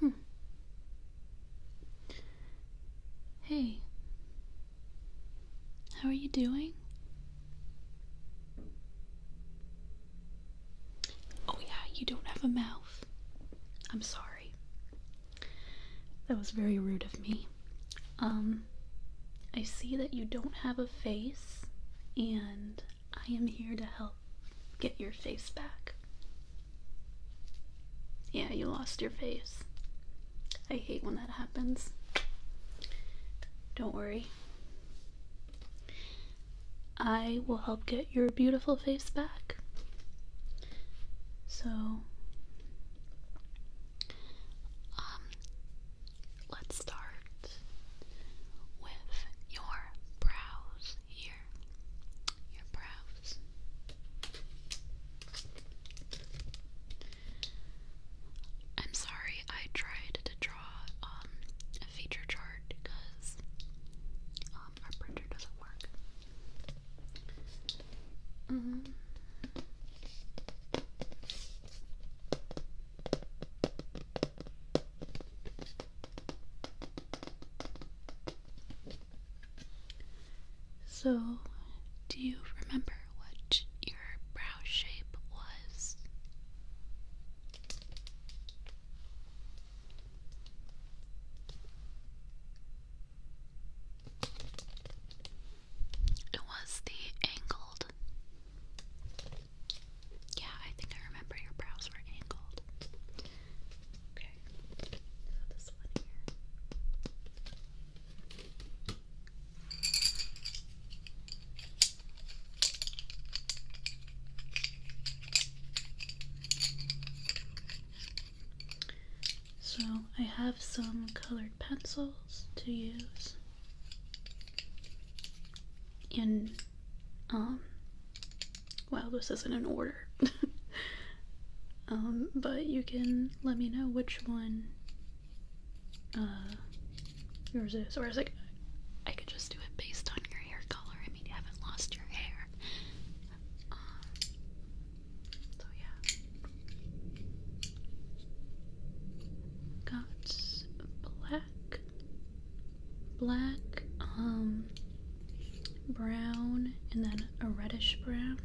Hmm. Hey. How are you doing? Oh, yeah, you don't have a mouth. I'm sorry. That was very rude of me. Um, I see that you don't have a face, and I am here to help get your face back. Yeah, you lost your face. I hate when that happens. Don't worry. I will help get your beautiful face back. So, um, let's start with your brows here. Your brows. I'm sorry I tried to draw um, a feature chart because um, our printer doesn't work. Mm-hmm. So, do you remember what your brow shape was? It was the angled yeah, I think I remember your brows were angled. Okay, so this one here. So, I have some colored pencils to use. And um, well, this isn't an order. Um, but you can let me know which one uh, yours is. Or is it? I could just do it based on your hair color. I mean, you haven't lost your hair. Um, so yeah. Got black black, um, brown, and then a reddish brown,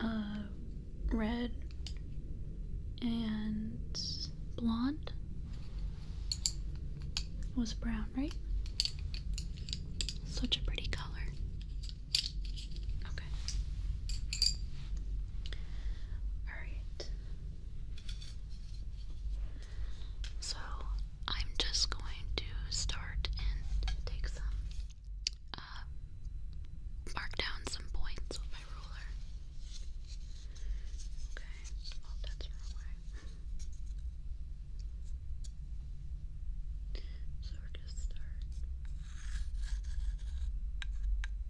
uh, red, and blonde was brown, right? Such a pretty color. Okay. Alright. So I'm just going to start and take some, uh, mark down some points with my ruler. Okay, oh, So we're gonna start.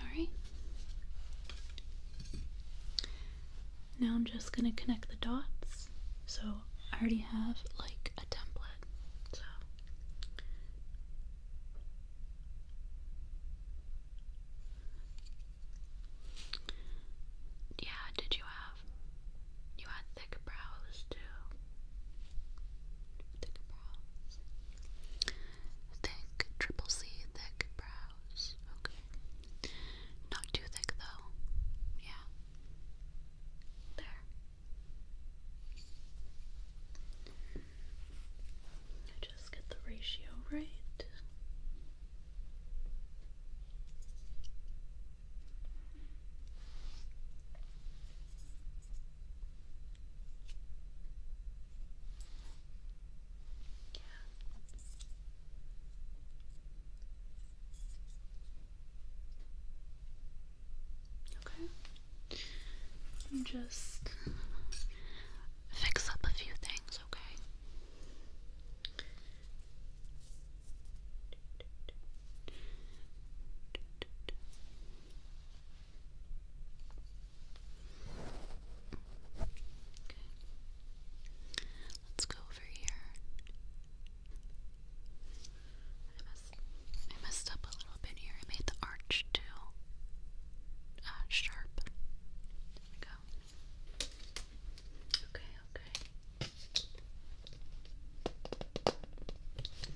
Alright. Now I'm just going to connect the dots. So I already have like a template. So. Yeah, did you have? You had thick brows too. Thick brows. Thick, triple C, thick brows. Okay. Not too thick though. Yeah. There. Just get the ratio right. Yeah. Okay. And just fix up a few things, okay? Let's go over here. I messed, up a little bit here. I made the arch too uh, sharp. go. Okay, okay.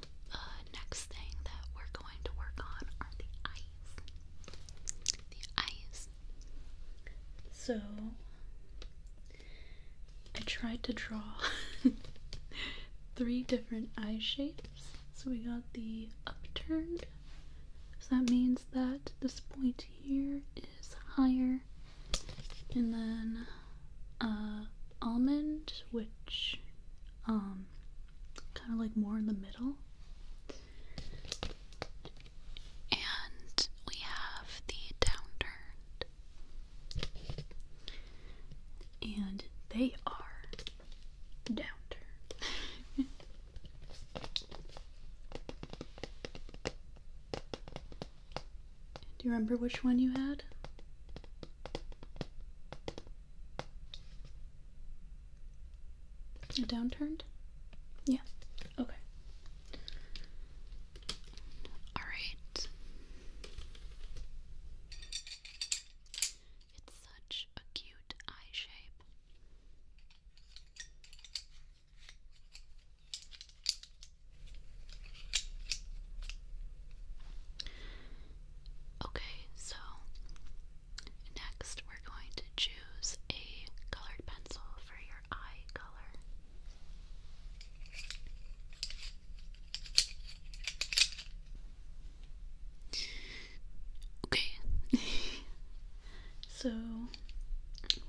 The uh, next thing that we're going to work on are the eyes. The eyes. So I tried to draw three different eye shapes. So we got the upturned. So that means that this point here is higher. And then uh, almond, which um, kind of like more in the middle. And we have the downturned. And they are downturned. Do you remember which one you had? A downturned? Yeah. Okay. All right. It's such a cute eye shape. Okay, so next we're going to choose a colored pencil for your eye color. Okay, so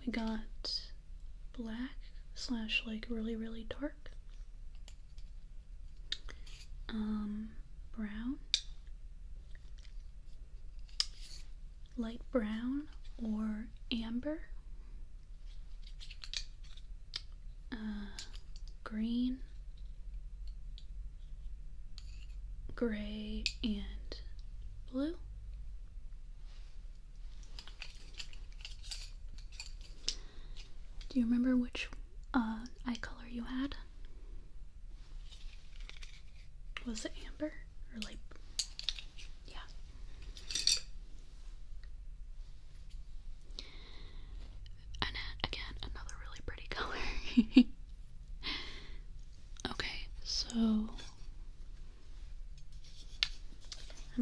we got black slash like really, really dark um, brown, light brown, or amber, uh, green, gray, and blue. Do you remember which uh, eye color you had? Was it amber or like? Yeah. And uh, again, another really pretty color. okay, so I'm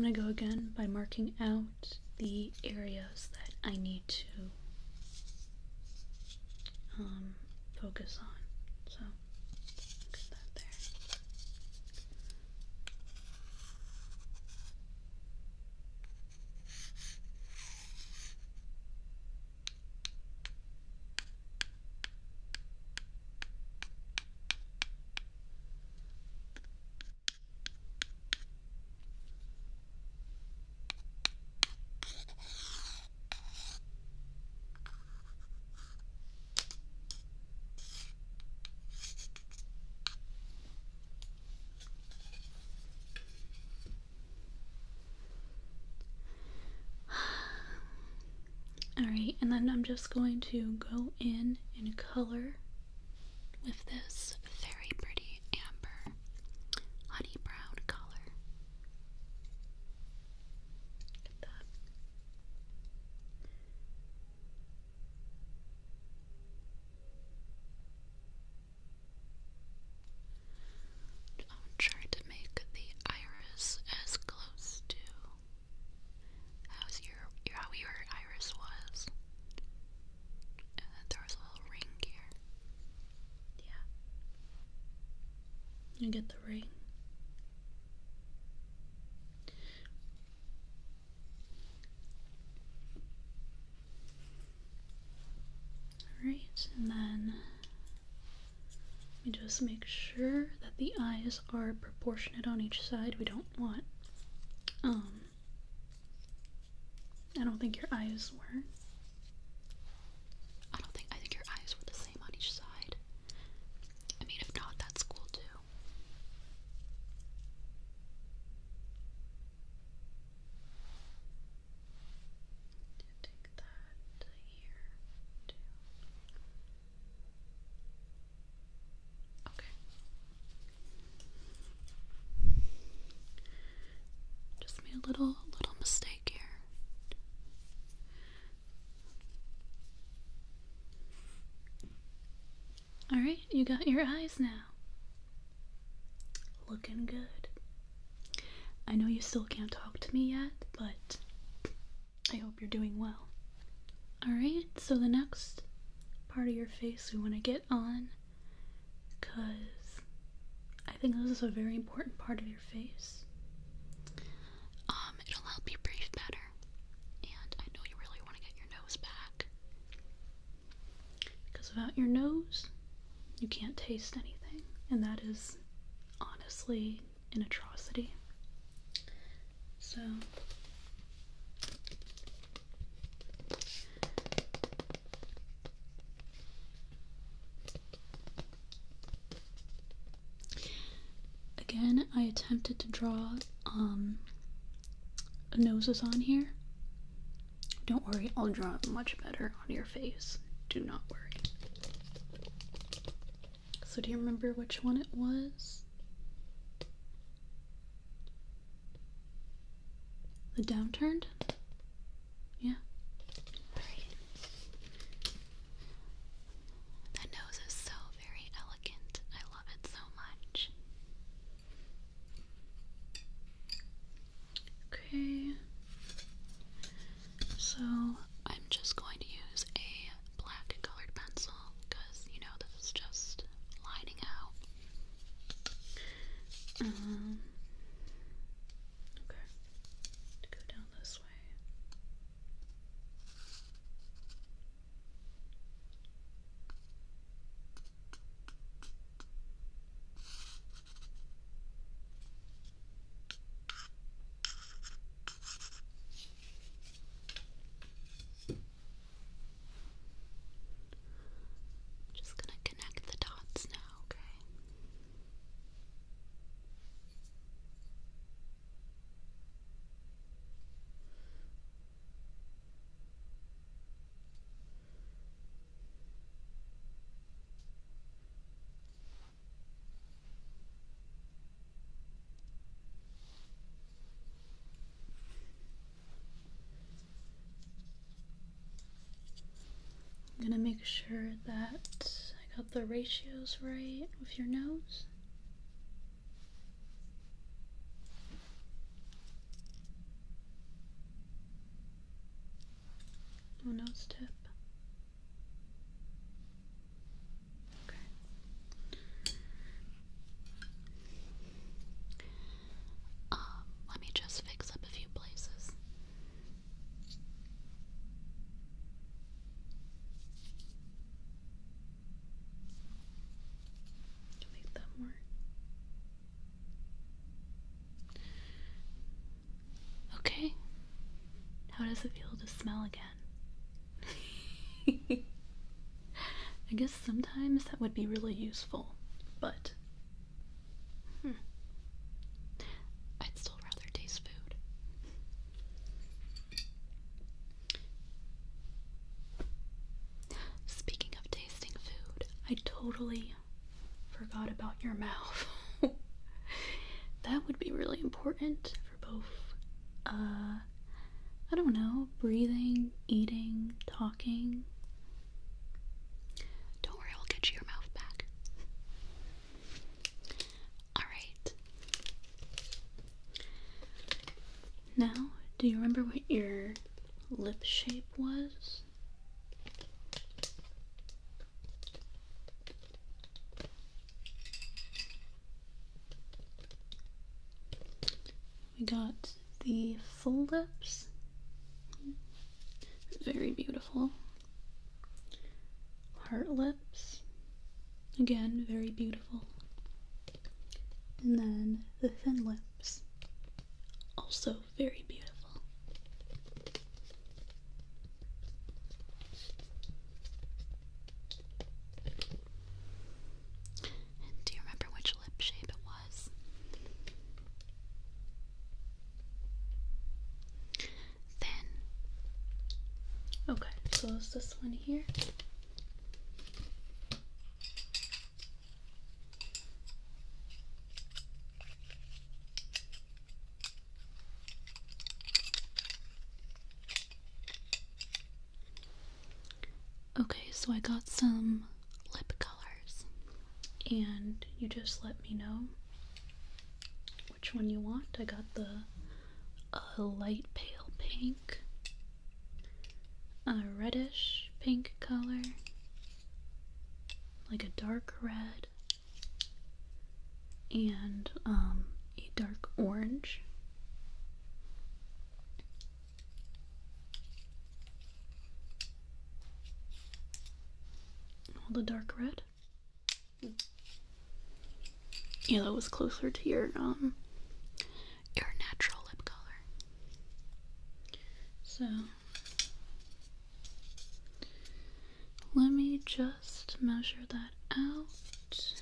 gonna go again by marking out the areas that I need to um, focus on. So, look at that there. All right, and then I'm just going to go in and color with this very pretty amber honey brown color. I'm trying to make the iris as close to how's your, how your iris was, and then there was a little ring here. Yeah, you get the ring. Alright, and then we just make sure that the eyes are proportionate on each side. We don't want um I don't think your eyes were. I don't think. I think your eyes were the same on each side. I mean, if not, that's cool too. Take that here too. Okay. Just made a little little mistake here. All right, you got your eyes now. Looking good. I know you still can't talk to me yet, but I hope you're doing well. Alright, so the next part of your face we want to get on because I think this is a very important part of your face. Um, it'll help you breathe better. And I know you really want to get your nose back. Because without your nose, you can't taste anything. And that is honestly an atrocity. So again, I attempted to draw um noses on here. Don't worry, I'll draw it much better on your face. Do not worry. So, do you remember which one it was? The downturned? Yeah. That nose is so very elegant. I love it so much. Okay. So I'm just going to use a black colored pencil because you know this is just lining out. Um, okay, go down this way. Just gonna connect the dots now, okay? I'm gonna make sure that I got the ratios right with your nose. nose tip. Okay. Um, let me just fix up a few places. Make that more. Okay. How does it feel to smell again? I guess sometimes that would be really useful, but hmm. I'd still rather taste food. Speaking of tasting food, I totally forgot about your mouth. that would be really important for both uh, I don't know, breathing, eating, talking. Don't worry, I'll get you your mouth back. Alright. Now, do you remember what your lip shape was? we got the full lips. Very beautiful. Heart lips. Again, very beautiful. And then the thin lips. Also very beautiful. Do you remember which lip shape it was? Then, okay, so it's this one here. Okay, so I got some lip colors, and you just let me know which one you want. I got the uh, light pale pink, a reddish pink color, like a dark red, and um, a dark orange. All the dark red. Yellow was closer to your um your natural lip color. So let me just measure that out.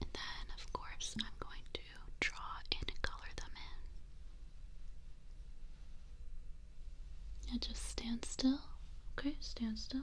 And then, of course, I'm going to draw and color them in. Yeah, just stand still. Okay, stand still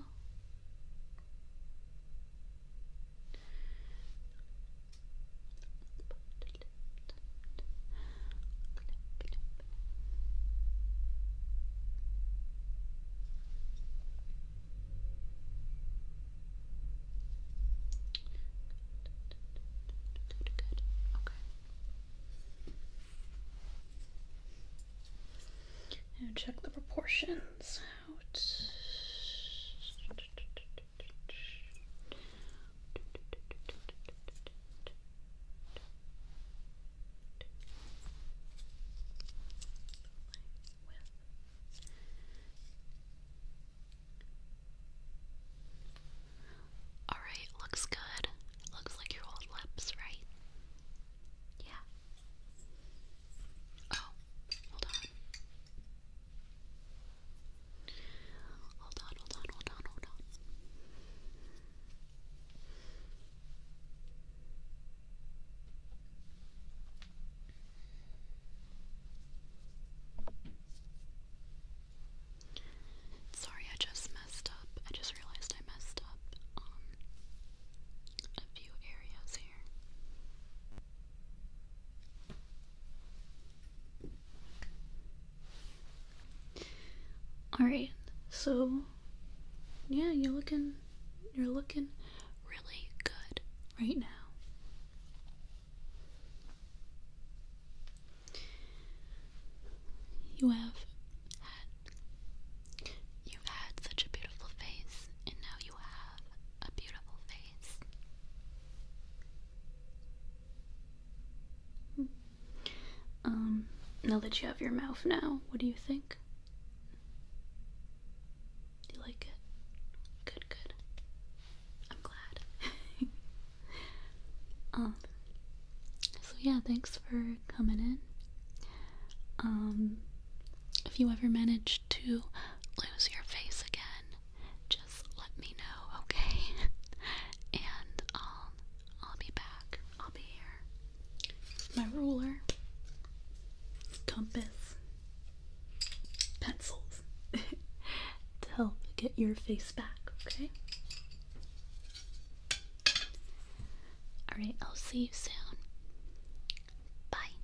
check the proportions out. All right, looks good. Looks like your old lips, right? Yeah. Oh, hold on. Hold on, hold on, hold on, hold on. Sorry, I just messed up. I just realized I messed up um, a few areas here. Alright, so yeah, you're looking you're looking really good right now. You have had you've had such a beautiful face and now you have a beautiful face. Hmm. Um, now that you have your mouth now, what do you think? Do you like it? Good, good. I'm glad. um so yeah, thanks for coming in. Um if you ever manage to lose your face again, just let me know, okay? and um I'll be back. I'll be here my ruler, compass, pencils to help get your face back, okay? Alright, I'll see you soon. Bye.